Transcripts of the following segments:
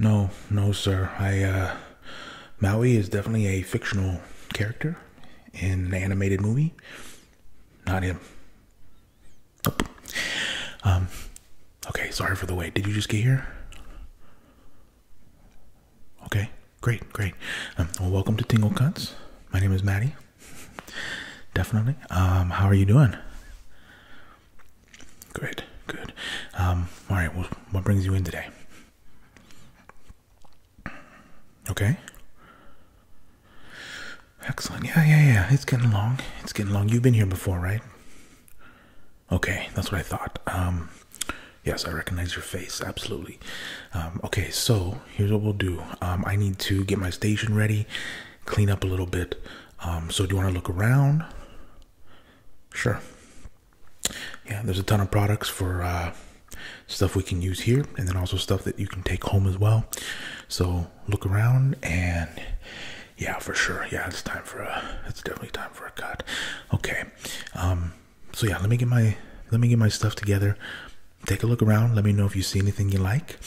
No, no, sir. I, uh, Maui is definitely a fictional character in an animated movie. Not him. Um, okay, sorry for the wait. Did you just get here? Okay, great, great. Um, well, welcome to Tingle Cuts. My name is Maddie. Definitely. Um, how are you doing? Great, good. all right, what brings you in today? Okay. Excellent. Yeah, yeah, yeah. It's getting long. It's getting long. You've been here before, right? Okay, that's what I thought. Um, yes, I recognize your face. Absolutely. Um, okay, so here's what we'll do. Um, I need to get my station ready, clean up a little bit. Um, so do you want to look around? Sure. Yeah, there's a ton of products for uh, stuff we can use here, and then also stuff that you can take home as well. So look around and yeah, for sure. Yeah, it's time for a. It's definitely time for a cut. Okay. Um. So yeah, let me get my let me get my stuff together. Take a look around. Let me know if you see anything you like,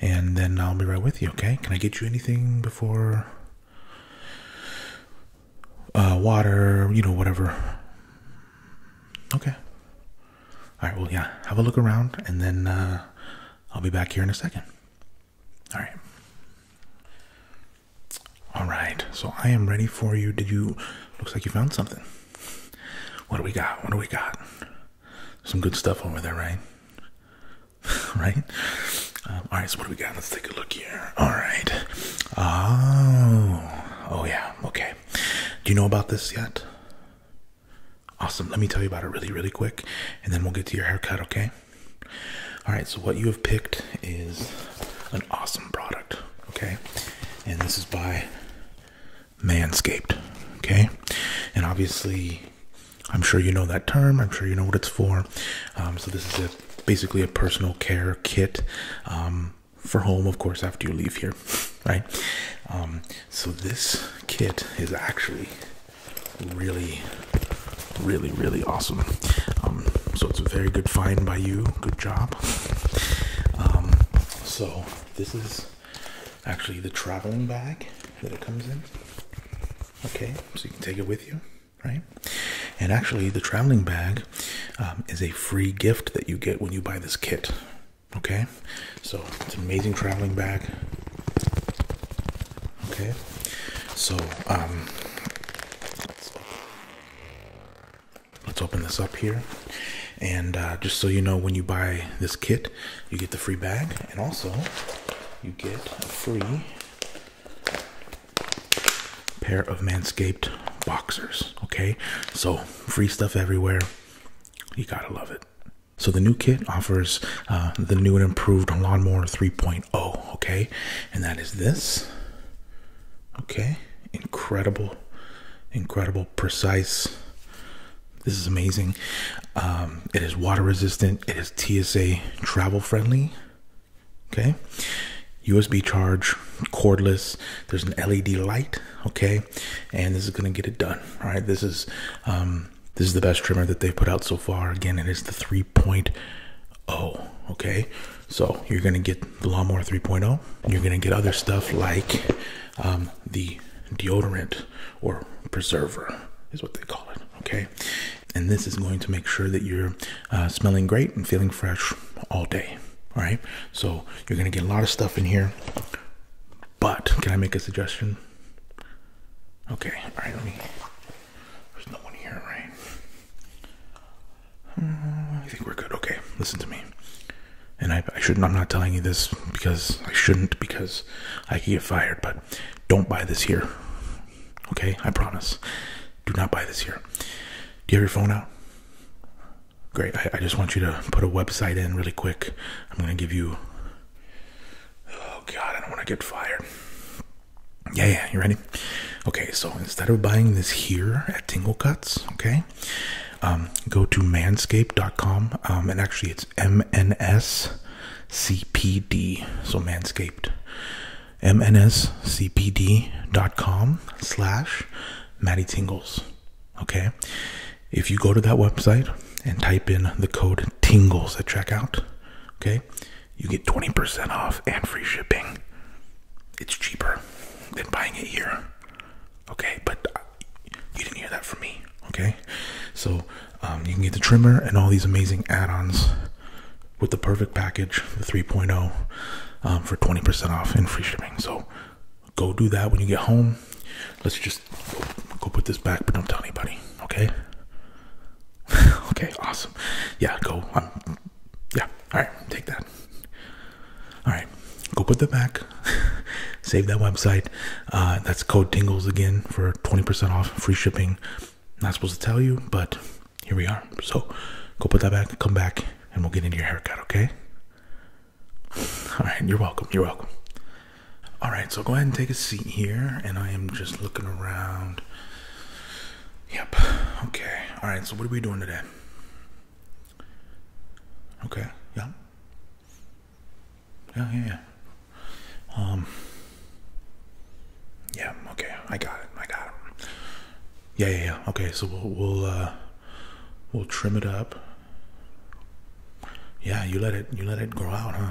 and then I'll be right with you. Okay? Can I get you anything before? Uh, water, you know, whatever. Okay. All right. Well, yeah. Have a look around, and then uh, I'll be back here in a second. All right. All right. So I am ready for you. Did you? Looks like you found something. What do we got? What do we got? Some good stuff over there, right? right? Um, all right. So what do we got? Let's take a look here. All right. Oh. Oh yeah. Okay. Do you know about this yet? Awesome. Let me tell you about it really, really quick, and then we'll get to your haircut, okay? All right, so what you have picked is an awesome product, okay? And this is by Manscaped, okay? And obviously, I'm sure you know that term, I'm sure you know what it's for. Um, so, this is basically a personal care kit. Um, for home, of course, after you leave here, right? Um, so this kit is actually really, really, really awesome. Um, so it's a very good find by you. Good job. Um, so this is actually the traveling bag that it comes in. Okay, so you can take it with you, right? And actually, the traveling bag um, is a free gift that you get when you buy this kit. Okay, so it's an amazing traveling bag. Okay, so um, let's, open this up here, and uh, just so you know, when you buy this kit, you get the free bag, and also you get a free pair of Manscaped boxers. Okay, so free stuff everywhere. You gotta love it. So the new kit offers uh, the new and improved lawnmower 3.0. Okay, and that is this. Okay, incredible, incredible, precise. This is amazing. Um, it is water resistant. It is TSA travel friendly. Okay, USB charge, cordless. There's an LED light. Okay, and this is gonna get it done. right? this is um, this is the best trimmer that they put out so far. Again, it is the 3.0. Okay, so you're gonna get the lawnmower 3.0. You're gonna get other stuff like um, the deodorant or preserver is what they call it. Okay, and this is going to make sure that you're uh, smelling great and feeling fresh all day. All right, so you're gonna get a lot of stuff in here. But can I make a suggestion? Okay, alright, let me. There's no one here, right? Hmm, I think we're good. Okay, listen to me. And I, shouldn't, I'm not telling you this because I shouldn't, because I could get fired, but don't buy this here. Okay, I promise. Do not buy this here. Do you have your phone out? Great. I just want you to put a website in really quick. I'm going to give you Oh God, I don't want to get fired. Yeah, yeah, you ready? Okay, so instead of buying this here at Tingle Cuts, okay, um, go to manscaped.com. Um, and actually, it's MNSCPD. So Manscaped. MNSCPD.com slash Matty Tingles. Okay. If you go to that website and type in the code TINGLES at checkout, okay, you get 20% off and free shipping. It's cheaper than buying it here. Okay, but uh, you didn't hear that from me. Okay, so um, you can get the trimmer and all these amazing add ons with the perfect package, the 3.0, um, for 20% off and free shipping. So go do that when you get home. Let's just go put this back, but don't tell anybody. Okay. okay. Awesome. Yeah. Go. Um, yeah. All right. Take that. All right. Go put that back. Save that website. Uh, that's code Tingles again for twenty percent off, free shipping. Not supposed to tell you, but here we are. So go put that back. Come back, and we'll get into your haircut. Okay. All right. You're welcome. You're welcome. All right, so go ahead and take a seat here, and I am just looking around. Yep. Okay. All right. So what are we doing today? Okay. Yeah. Yeah. Yeah. Um. Yeah. Okay. I got it. I got it. Yeah. Yeah. Okay. So we'll we'll uh, we'll trim it up. Yeah, you let it you let it grow out, huh?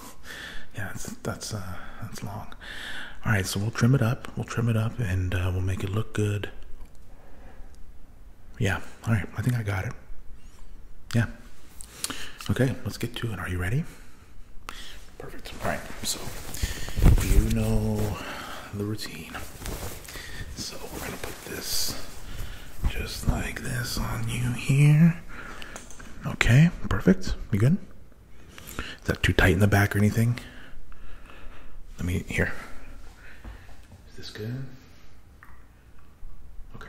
yeah, that's that's uh, that's long. All right, so we'll trim it up. We'll trim it up, and uh, we'll make it look good. Yeah. All right. I think I got it. Yeah. Okay. Let's get to it. Are you ready? Perfect. All right. So you know the routine. So we're gonna put this just like this on you here. Okay, perfect. You good? Is that too tight in the back or anything? Let me here. Is this good? Okay.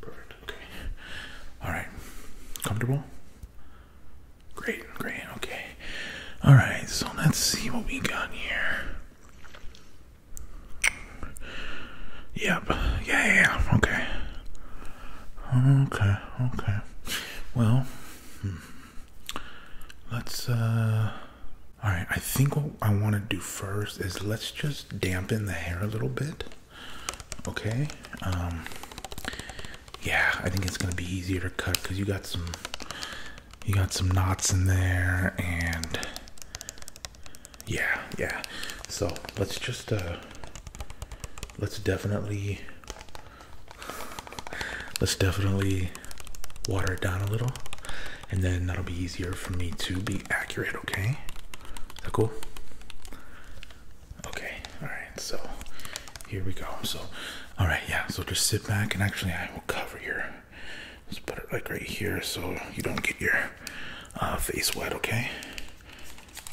Perfect. Okay. All right. Comfortable? Great, great. Okay. All right. So let's see what we got here. Yep. Yeah, Okay. Okay, okay. Well, hmm. let's, uh, alright, I think what I want to do first is let's just dampen the hair a little bit. Okay, um, yeah, I think it's gonna be easier to cut because you got some, you got some knots in there and yeah yeah so let's just uh let's definitely let's definitely water it down a little and then that'll be easier for me to be accurate okay is that cool okay all right so here we go so all right yeah so just sit back and actually i will cover your Let's put it like right here so you don't get your uh, face wet, okay?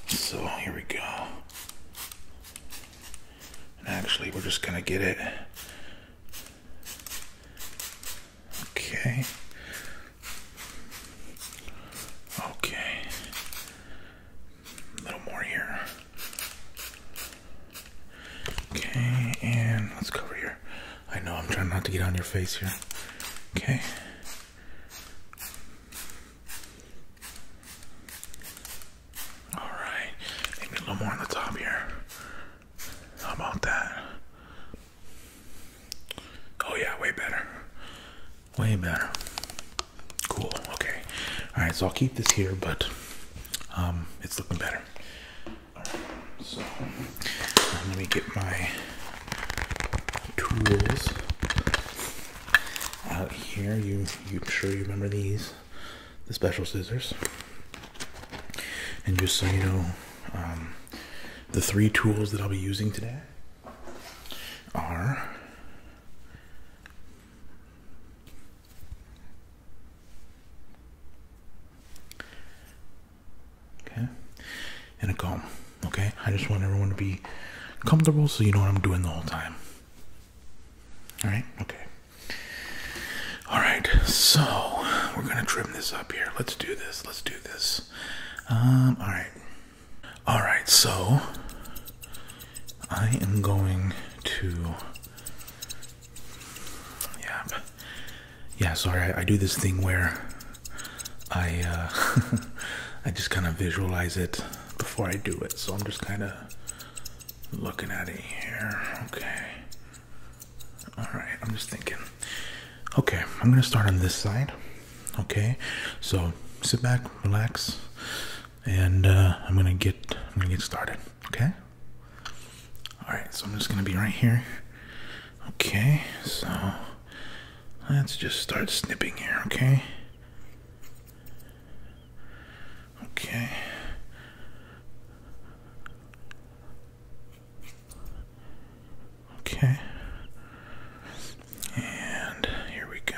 So here we go. And actually, we're just gonna get it. Okay. Okay. A little more here. Okay, and let's go over here. I know I'm trying not to get on your face here. Okay. All right. Maybe a little more on the top here. How about that? Oh yeah, way better. Way better. Cool. Okay. All right. So I'll keep this here, but um, it's looking better so let me get my tools out here. You, you sure you remember these, the special scissors. And just so you know, um, the three tools that I'll be using today are Okay, in a comb. Okay, I just want everyone to be comfortable so you know what I'm doing the whole time. Alright, okay. Alright, so we're gonna trim this up here. Let's do this. Let's do this. Um, alright. Alright, so I am going to. Yep yeah, sorry, I, do this thing where I uh, I just kind of visualize it before I do it, so I'm just kind of looking at it here. Okay, all right, I'm just thinking. Okay, I'm gonna start on this side. Okay, so sit back, relax, and uh, I'm gonna get I'm gonna get started. Okay. All right, so I'm just gonna be right here. Okay, so let's just start snipping here, okay? Okay. Okay. And here we go.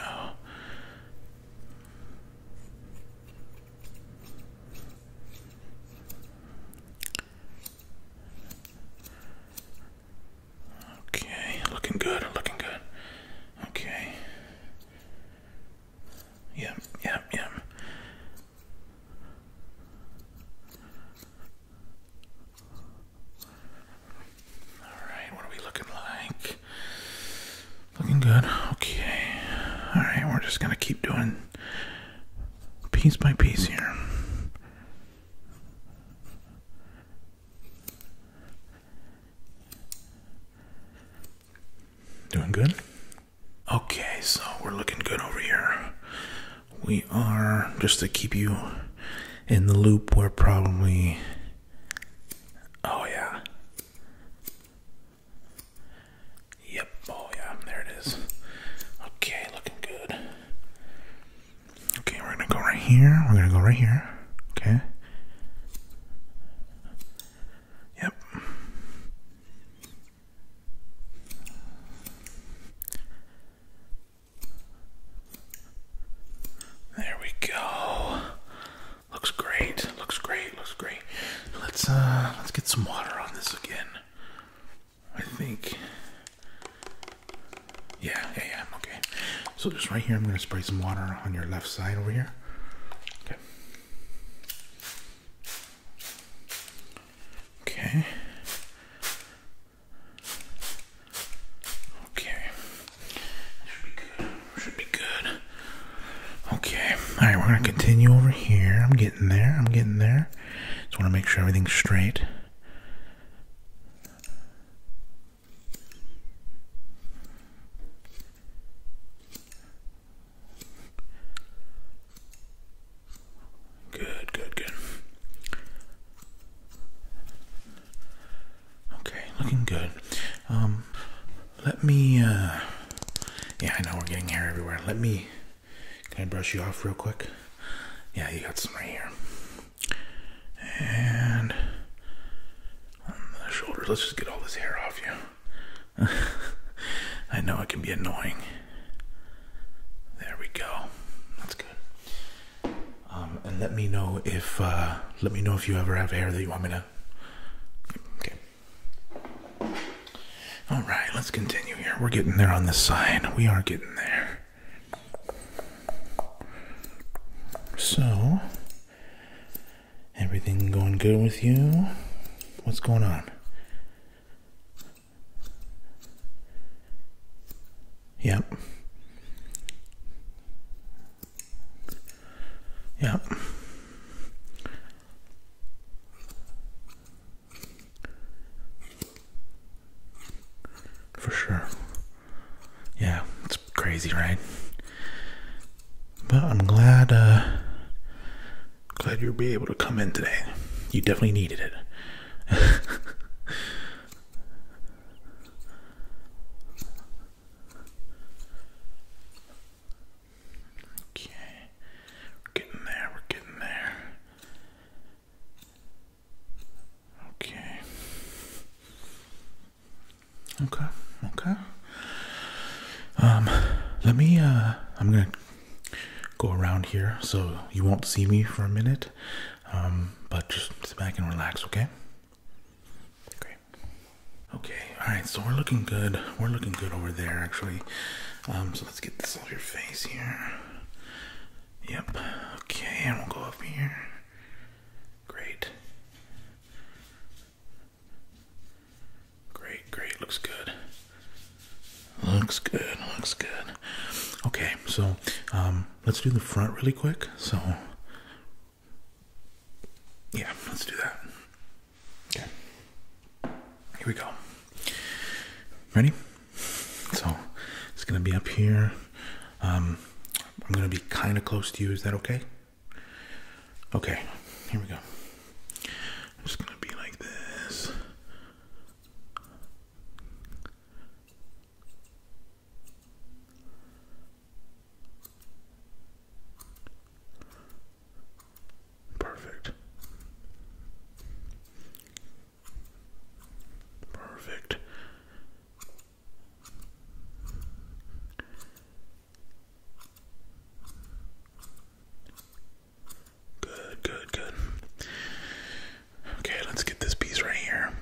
Okay, looking good, looking good. Okay. Yep, yep, yep. Alright, what are we looking like? Looking good. Okay. Alright, we're just gonna keep doing piece by piece here. Doing good? Okay, so we're looking good over here. We are, just to keep you in the loop, we're probably. Oh, yeah. Yep. Oh yeah, there it is. Okay, looking good. Okay, we're gonna go right here. We're gonna go right here. Okay. Yep. There we go. Looks great. Looks great. Looks great. Let's uh let's get some water on this again. I think. Yeah, yeah, yeah, I'm okay. So just right here, I'm gonna spray some water on your left side over here. Okay. Okay. Okay. Should be good. Should be good. Okay. All right, we're gonna continue over here. I'm getting there. I'm getting there. Just want to make sure everything's straight. Good, good, good. Okay, looking good. Um, let me, uh, yeah, I know we're getting hair everywhere. Let me can I brush you off real quick? Yeah, you got some right here. And on the shoulder, let's just get all this hair off you. I know it can be annoying. There we go. That's good. Um, and let me know if uh, let me know if you ever have hair that you want me to. Okay. All right, let's continue here. We're getting there on this side. We are getting there. So, everything going good with you? What's going on? Yep. Yep. For sure. Yeah, it's crazy, right? But I'm glad uh glad you'll be able to come in today. You definitely needed it. okay. We're getting there, we're getting there. Okay. Okay. Okay. Um, let me, uh, I'm gonna go around here so you won't see me for a minute. Um, but just sit back and relax, okay? Great. Okay. All right. So we're looking good. We're looking good over there, actually. Um, let's get this on your face here. Yep. Okay, and we'll go up here. Great. Great, great. Looks good. Looks good. Looks good. Okay, so um, let's do the front really quick. So, yeah, let's do that. Okay. Here we go. Ready? So it's gonna be up here. Um, I'm gonna be kind of close to you. Is that okay? Okay. Here we go. I'm just gonna be like this. Perfect. Perfect. Good, good, good. Okay, let's get this piece right here.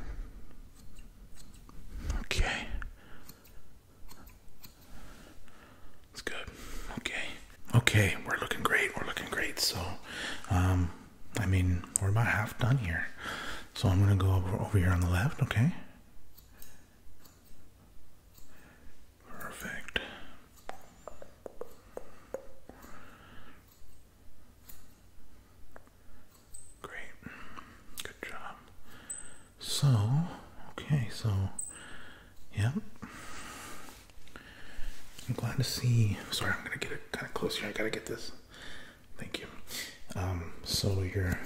Okay. It's good. Okay. Okay, we're looking great. We're looking great. So, um, I mean, we're about half done here. So I'm gonna go over, over here on the left. Okay. Perfect. Great. Good job. So, okay, so yeah. I'm glad to see. Sorry, I'm gonna get it kind of closer. I gotta get this. Thank you. Um, so you're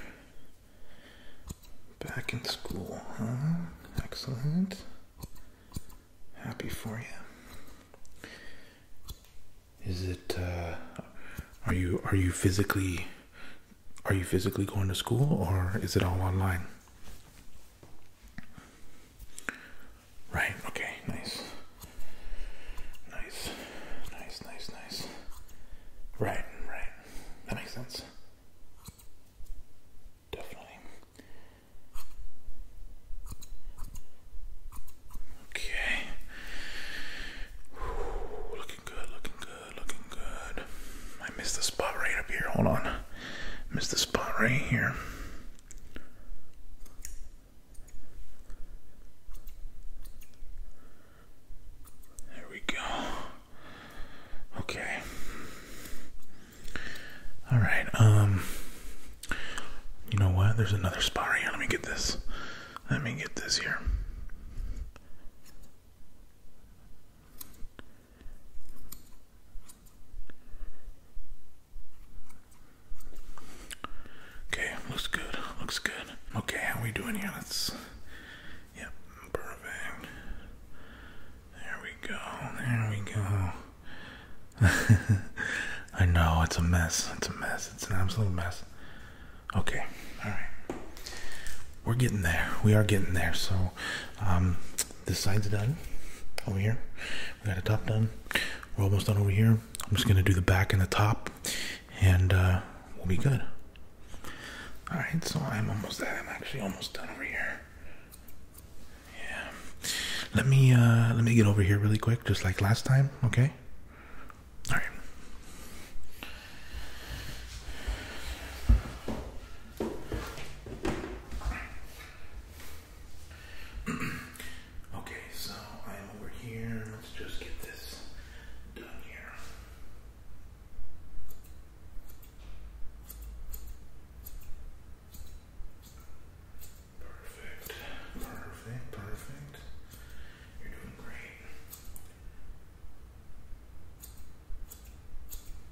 back in school, huh? Excellent. Happy for you. Is it? Uh, are you are you physically are you physically going to school or is it all online? Right, okay, nice. Nice, nice, nice, nice. Right, right. That makes sense. Definitely. Okay. looking good, looking good, looking good. I missed the spot right up here. Hold on missed the spot right here. There we go. Okay. All right. Um. You know what? There's another spot right here. Let me get this. Let me get this here. Okay, looks good. Looks good. Okay, how we doing here? Let's. Yep, perfect. There we go. There we go. I know it's a mess. It's a mess. It's an absolute mess. Okay, all right. We're getting there. We are getting there. So, um, this side's done over here. We got the top done. We're almost done over here. I'm just gonna do the back and the top, and uh, we'll be good. All right, so I'm almost done. I'm actually almost done over here. Yeah. Let me uh, let me get over here really quick, just like last time. Okay. All right. okay, so I'm over here. Let's just get this done here. Perfect, perfect, perfect. You're doing great.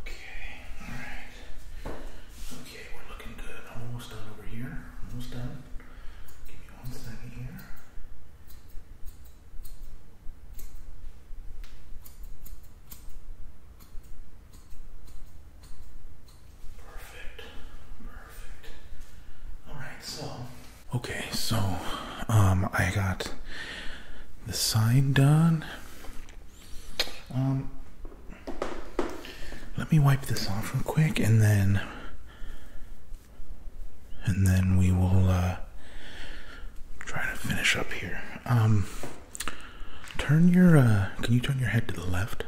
Okay, alright. Okay, we're looking good. almost done over here. Almost done. Give me one second here. Perfect. Perfect. Alright, so. Okay, so um, I got the sign done. Um, let me wipe this off real quick and then. And then we will uh, try to finish up here. Um, turn your. Uh, can you turn your head to the left?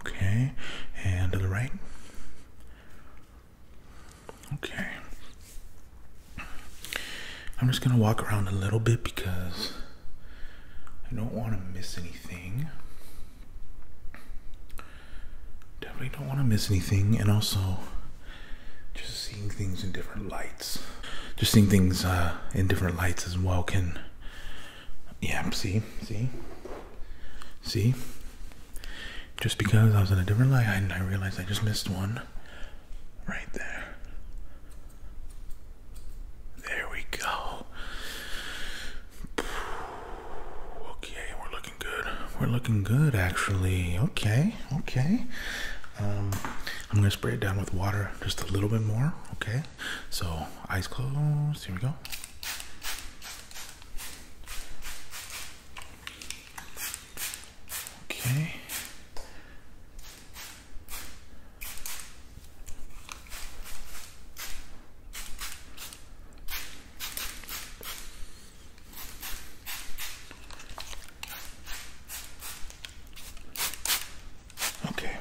Okay, and to the right. Okay. I'm just going to walk around a little bit because I don't want to miss anything. Definitely don't want to miss anything, and also just seeing things in different lights. Just seeing things uh, in different lights as well can yeah, see, see, see. Just because I was in a different light, I, realized I just missed one right there. There we go. Okay, we're looking good. We're looking good, actually. Okay, okay. Um, I'm gonna spray it down with water just a little bit more. Okay, so eyes closed. Here we go. Okay. Okay.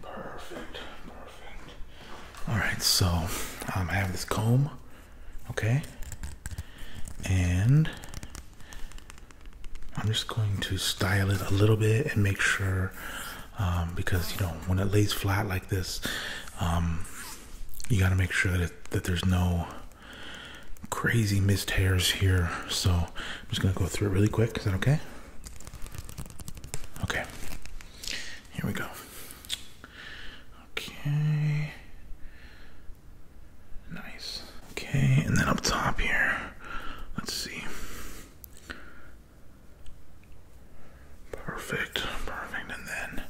Perfect. Perfect. Alright, so um, I have this comb. Okay. And I'm just going to style it a little bit and make sure um, because you know when it lays flat like this um, you got to make sure that, that there's no crazy missed hairs here so I'm just gonna go through it really quick is that okay Okay. Here we go. Okay. Nice. Okay, and then up top here, let's see. Perfect, perfect, and then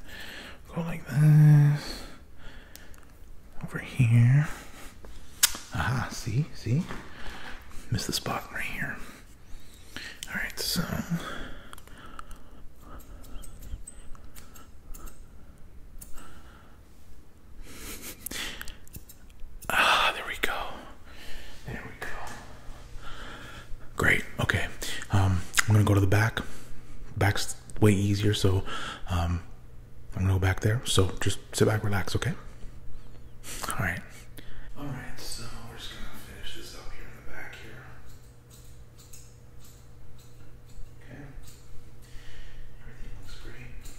go like this over here. Aha, see, see? Missed the spot right here. Alright, so. Ah, there we go. There we go. Great. Okay. Um, I'm gonna go to the back. Back's way easier, so um, I'm gonna go back there. So just sit back, relax, okay? All right. All right. So we're just gonna finish this up here in the back here. Okay. Everything looks great.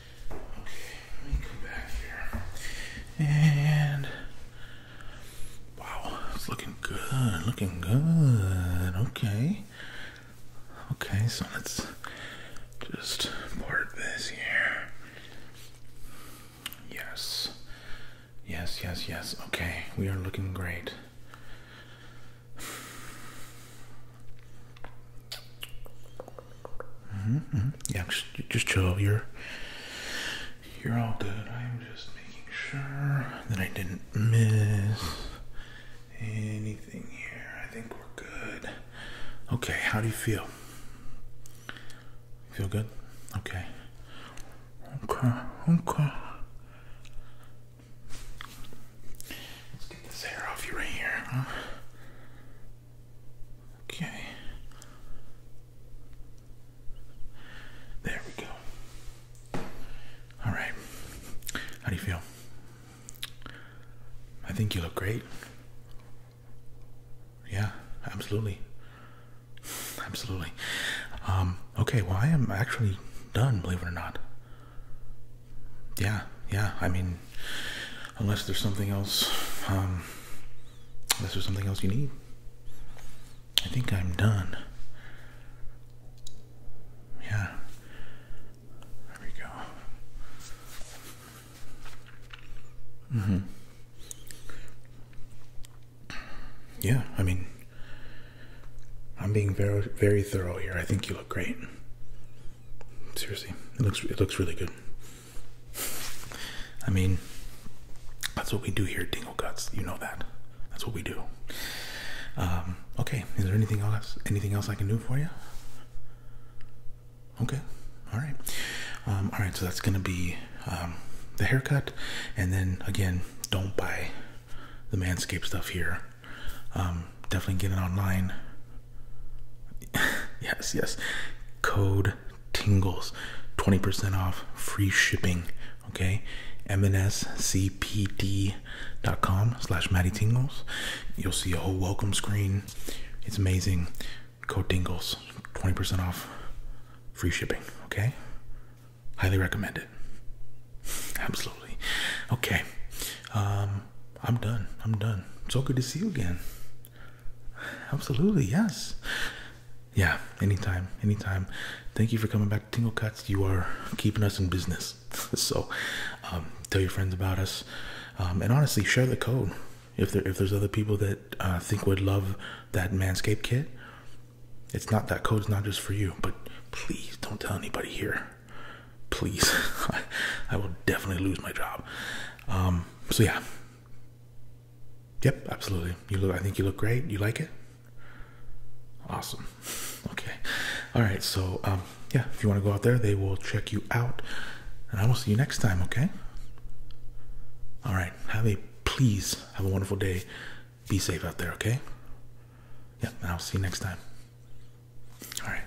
Okay, let me come back here. And wow, it's looking good, looking good. Okay. Okay, so let's just part this here. Yes. Yes, yes, yes. Okay, we are looking great. Mm-hmm, mm-hmm. Yeah, just, just chill. You're you're all good. I'm just making sure that I didn't miss anything here. I think we're good. Okay, how do you feel? Feel good? Okay. Okay. Okay. Let's get this hair off you right here, Okay. There we go. All right. How do you feel? I think you look great. Yeah, absolutely. Absolutely. Um, okay, well, I am actually done, believe it or not. Yeah, yeah. I mean, unless there's something else um, unless there's something else you need i think i'm done yeah there we go mm-hmm. yeah i mean i'm being very very thorough here i think you look great seriously it looks it looks really good I mean, that's what we do here Dingo Dingle Guts. You know that. That's what we do. Um, okay, is there anything else anything else I can do for you? Okay. All right. Um, all right, so that's going to be um, the haircut and then again, don't buy the manscape stuff here. definitely get it online. yes, yes. Code tingles. 20% off free shipping. Okay. MNSCPD.com slash Maddie Tingles. You'll see a whole welcome screen. It's amazing. Code Tingles. 20% off free shipping. Okay. Highly recommend it. Absolutely. Okay. Um, I'm done. I'm done. So good to see you again. Absolutely, yes. Yeah, anytime, anytime. Thank you for coming back to Tingle Cuts. You are keeping us in business. so um, tell your friends about us. Um, and honestly, share the code. If there if there's other people that uh, think would love that Manscaped kit, it's not that code's not just for you, but please don't tell anybody here. Please. I, will definitely lose my job. Um, so yeah. Yep, absolutely. You look. I think you look great. You like it. Awesome. Okay. All right. So um, yeah, if you want to go out there, they will check you out, and I will see you next time. Okay. All right. Have a please have a wonderful day. Be safe out there. Okay. Yeah. I'll see you next time. All right.